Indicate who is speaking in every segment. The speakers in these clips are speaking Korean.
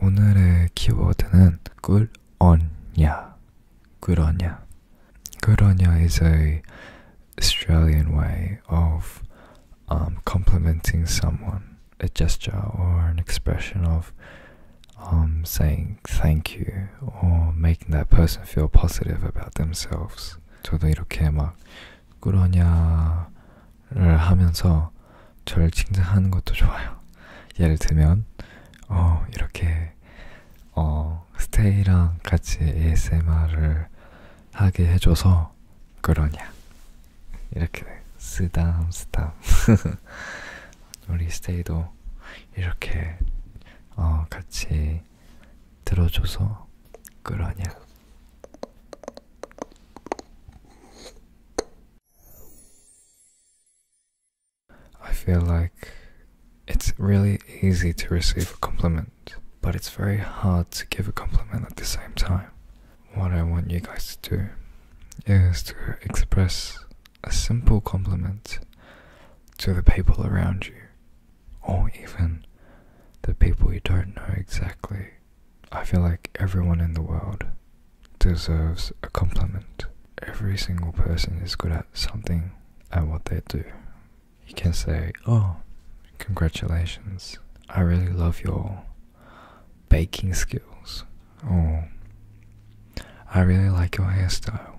Speaker 1: 오늘의 키워드는 꿀언냐 그러냐 그러냐 is a Australian way of um, complimenting someone a gesture or an expression of um, saying thank you or making that person feel positive about themselves 저도 이렇게 막 그러냐를 하면서 저를 칭찬하는 것도 좋아요. 예를 들면 어 이렇게 어 스테이랑 같이 ASMR을 하게 해줘서 그러냐 이렇게 쓰담 쓰담 우리 스테이도 이렇게 어 같이 I feel like it's really easy to receive a compliment, but it's very hard to give a compliment at the same time. What I want you guys to do is to express a simple compliment to the people around you or even the people you don't know exactly. I feel like everyone in the world deserves a compliment. Every single person is good at something at what they do. You can say, Oh, congratulations, I really love your baking skills. Or, I really like your hairstyle.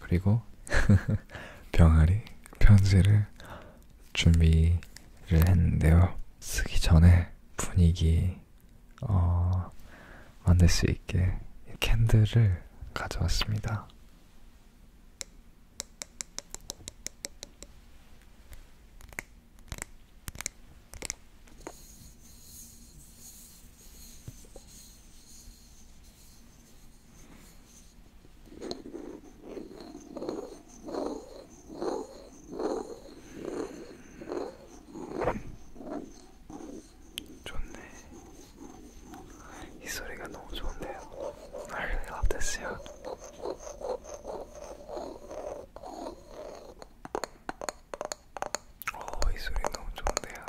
Speaker 1: 그리고 병아리 편지를 준비를 했는데요. 쓰기 전에 분위기 어, 만들 수 있게 캔들을 가져왔습니다. 좋네. 이 소리가 너무 좋은데요. I really love this sound. 오, 이 소리 너무 좋은데요.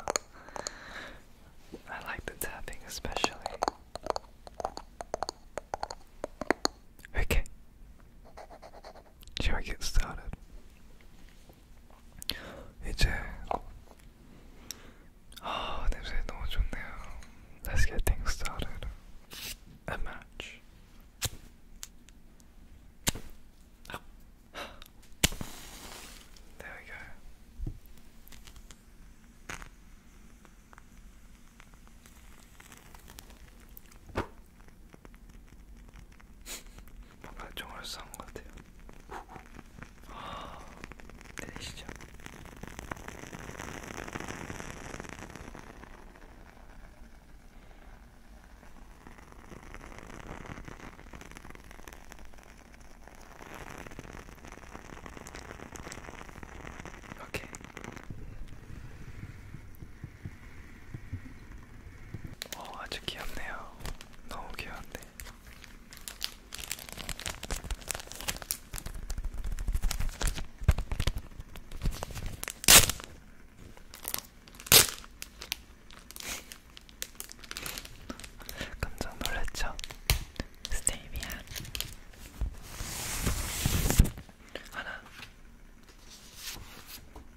Speaker 1: I like the tapping especially. Okay. Shall we get started? 이제 아 냄새 너무 좋네요. Let's get things started. match. There we go. 뭔가 좀 얼싸한 것 같아요. 아, 내리시죠. 오케이. 어, 아주 귀엽네요. 너무 귀여운데. 깜짝 놀랐죠? 스테비아 하나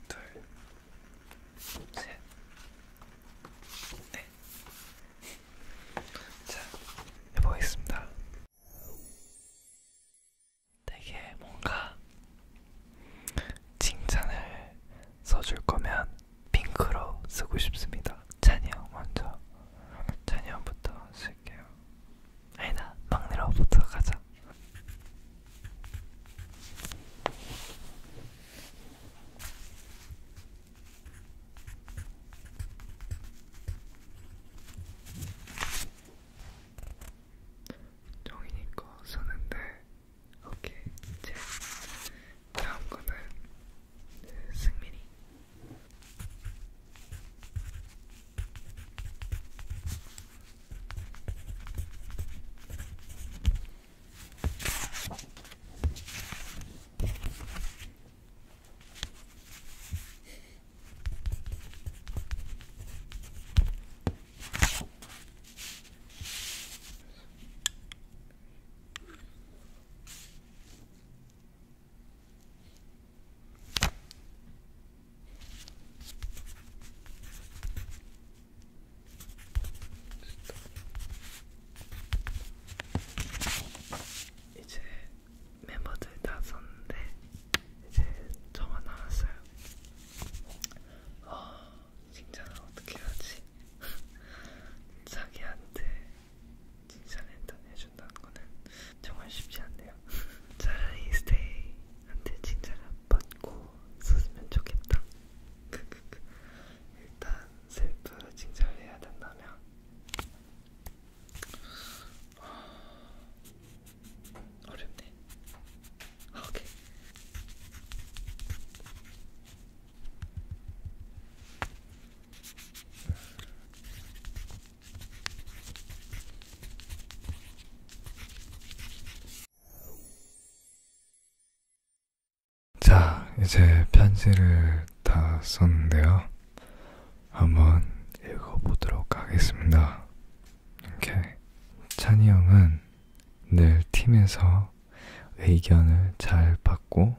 Speaker 1: 둘셋넷 자, 해보겠습니다. 되게 뭔가 칭찬을 써줄 거면 핑크로 쓰고 싶습니다. 찬이 형 먼저. 찬이 형부터 쓸게요. 아니다, 막내로부터 가자. 정이니까 쓰는데 오케이 이제 다음 거는 승민이 이제 멤버들 다 썼는데 이제 저만 남았어요. 어, 칭찬을 어떻게 하지? 자기한테 칭찬을 일단 해준다는 거는 정말 쉽지 않네요. 차라리 스테이한테 칭찬을 받고 썼으면 좋겠다. 일단 셀프 칭찬을 해야 된다면 어렵네. 아, 오케이. 자, 이제 편지를 다 썼는데요. 한번 읽어보도록 하겠습니다. 이렇게 찬이 형은 늘 팀에서 의견을 잘 받고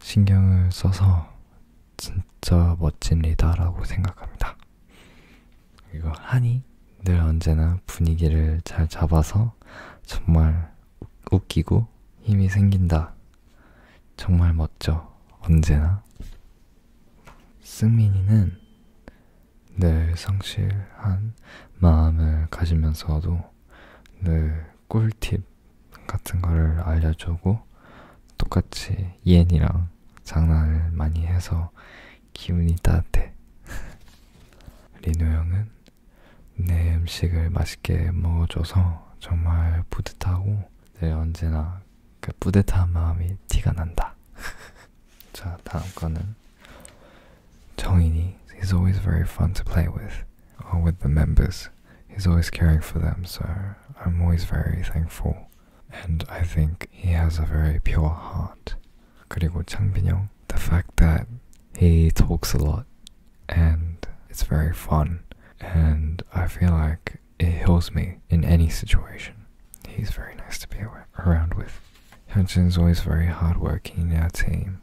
Speaker 1: 신경을 써서 진짜 멋진 리더라고 생각합니다. 이거 하니 늘 언제나 분위기를 잘 잡아서 정말 웃기고 힘이 생긴다. 정말 멋져. 언제나. 승민이는 늘 성실한 마음을 가지면서도 늘 네, 꿀팁 같은 거를 알려주고 똑같이 이엔이랑 장난을 많이 해서 기분이 따뜻해. 리노 형은 내 음식을 맛있게 먹어줘서 정말 뿌듯하고 늘 언제나 그 뿌듯한 마음이 티가 난다. 자 다음 거는 Tongini, he's always very fun to play with, or with the members. He's always caring for them, so I'm always very thankful. And I think he has a very pure heart. 그리고 창빈형, the fact that he talks a lot and it's very fun and I feel like it heals me in any situation. He's very nice to be around with. Hyunjin's always very hardworking in our team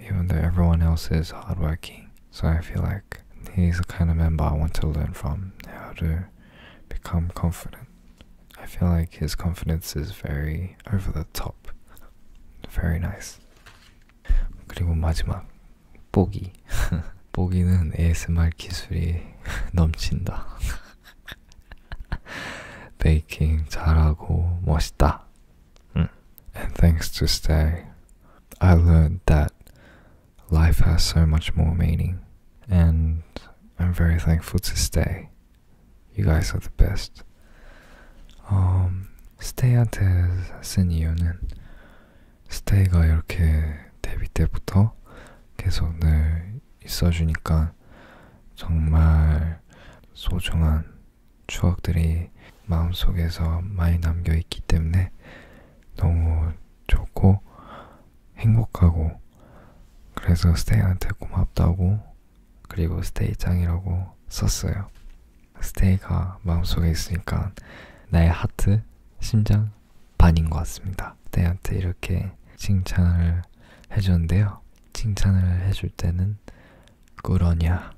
Speaker 1: even though everyone else is hardworking. So I feel like he's the kind of member I want to learn from how to become confident. I feel like his confidence is very over the top. Very nice. 그리고 마지막 뽀기. 뽀기는 ASMR 기술이 넘친다. 베이킹 잘하고 멋있다. Hmm. And thanks to Stay, I learned that life has so much more meaning. And I'm very thankful to Stay. You guys are the best. Um, 스테이한테 쓴 이유는 스테이가 이렇게 데뷔 때부터 계속 늘 있어주니까 정말 소중한 추억들이 마음속에서 많이 남겨 있기 때문에 너무 좋고 행복하고 그래서 스테이한테 고맙다고 그리고 스테이 짱이라고 썼어요. 스테이가 마음속에 있으니까 나의 하트, 심장 반인 것 같습니다. 스테이한테 이렇게 칭찬을 해줬는데요. 칭찬을 해줄 때는 말하면 그러냐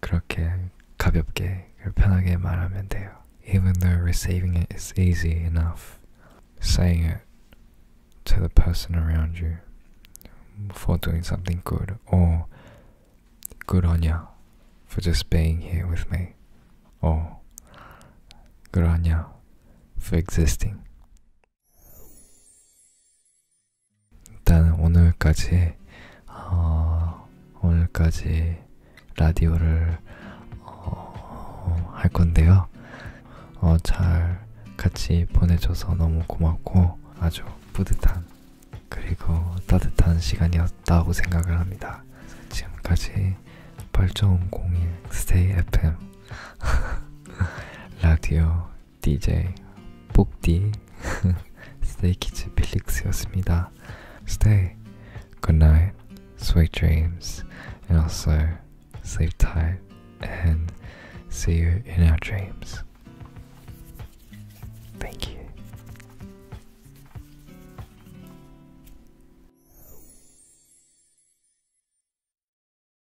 Speaker 1: 그렇게 가볍게 편하게 말하면 돼요. Even though receiving it is easy enough, saying it to the person around you for doing something good or good on you for just being here with me or good on you for existing. 일단 오늘까지 어, 오늘까지 라디오를 어, 할 건데요. 어, 잘 같이 보내줘서 너무 고맙고 아주 뿌듯한 그리고 따뜻한 시간이었다고 생각을 합니다. 지금까지 8.001 스테이 FM 라디오 DJ Book Stay 뽁디 스테이키즈 필릭스였습니다. Stay, good night, sweet dreams, and also sleep tight and see you in our dreams. Thank you.